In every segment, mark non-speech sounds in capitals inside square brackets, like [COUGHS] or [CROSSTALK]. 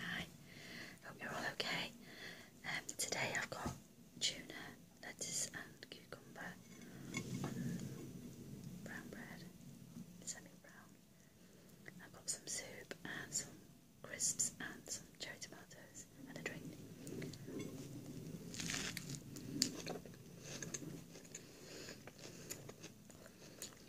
Hi, hope you're all okay. Um, today I've got tuna, lettuce, and cucumber brown bread, semi brown. I've got some soup and some crisps and some cherry tomatoes and a drink.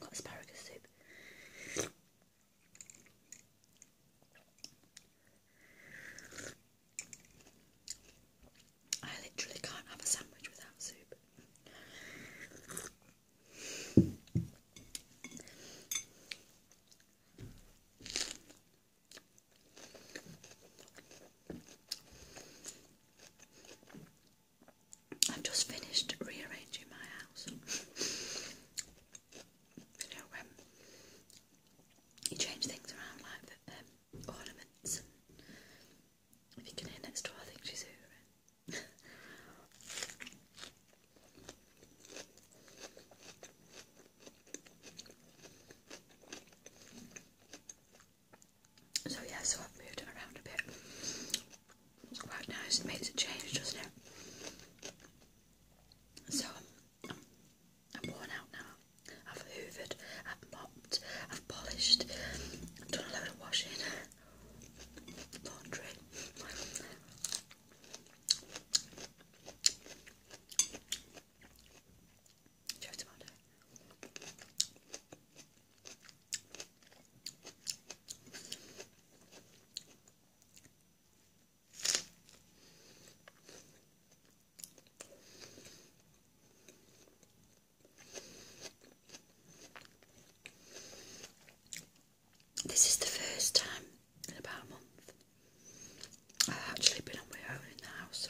Got asparagus soup. I literally can't have a sandwich without soup. I've just finished rearranging my house. You know, um, you change things around like the um, ornaments, if you can hear next door, I think she's hearing so yeah, so I've moved it around a bit. It's quite nice, it makes a change, doesn't it? So I'm, I'm worn out now. I've hoovered, I've mopped, I've polished, I've done a load of washing laundry. Joe tomato. This is the first time in about a month I've actually been on my own in the house.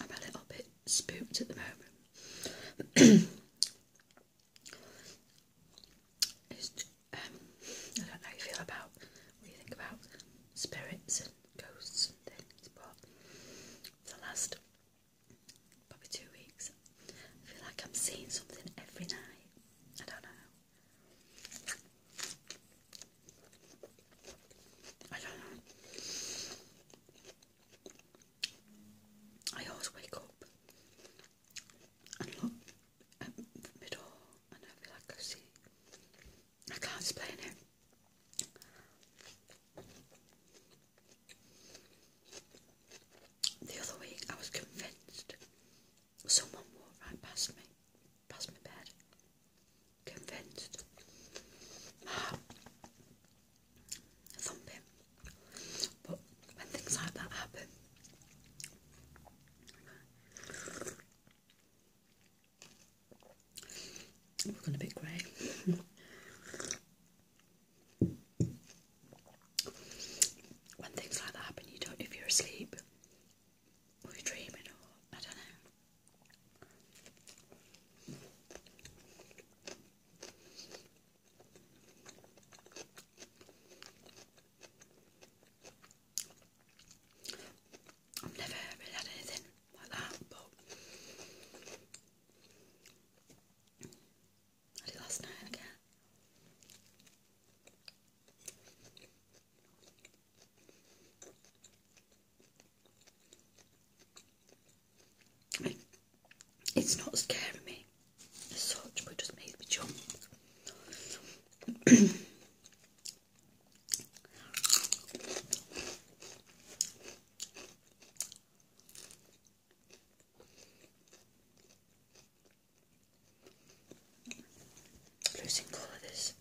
I'm a little bit spooked at the moment. [CLEARS THROAT] Um, I don't know how you feel about what you think about spirits and ghosts and things, but for the last probably two weeks, I feel like I'm seeing something every night. I don't know. I don't know. I always wake up and look at my door and I feel like I see. I can't explain it. The other week I was convinced someone walked right past me, past my bed. Convinced thump But when things like that happen, we're going a bit grey. when things like that happen, you don't know if you're asleep or you're dreaming or I don't know. I've never really had anything like that, but last night again. It's not scaring me as such, but it just makes me jump. losing colour this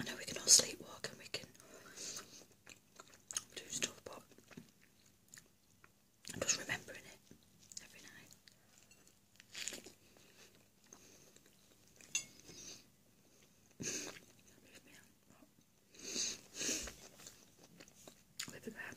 I know we can all sleepwalk and we can to his top i just remembering it every night. Look at that.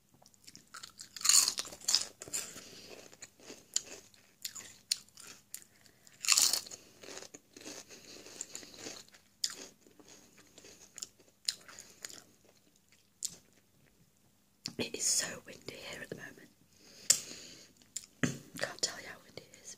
It is so windy here at the moment. [COUGHS] Can't tell you how windy it is.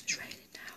It's raining now.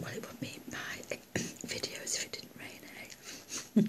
Well, it would be my videos if it didn't rain,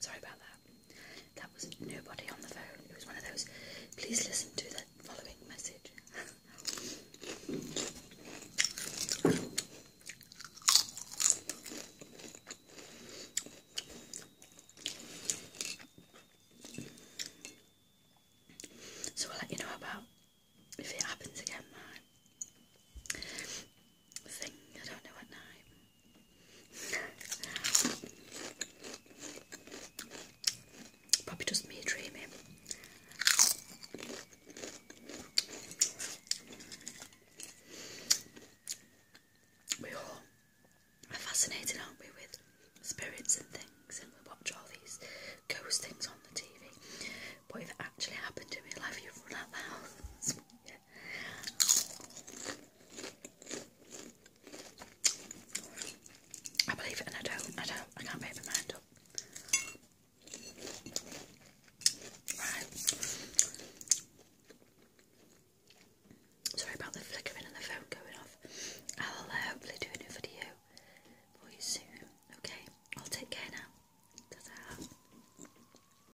Sorry about that. That was nobody on the phone. It was one of those, please listen to the following message. so I'll let you know about if it happens again, thing. I don't know at night. Probably just me dreaming. We are fascinated, aren't we, with spirits and things, and we watch all these ghost things on the TV. But if it actually happened in real life, you'd run out the house. I believe it and I don't, I don't, I can't make my mind up. Sorry about the flickering and the phone going off. I'll uh, hopefully do a new video for you soon. Okay, I'll take care now. ta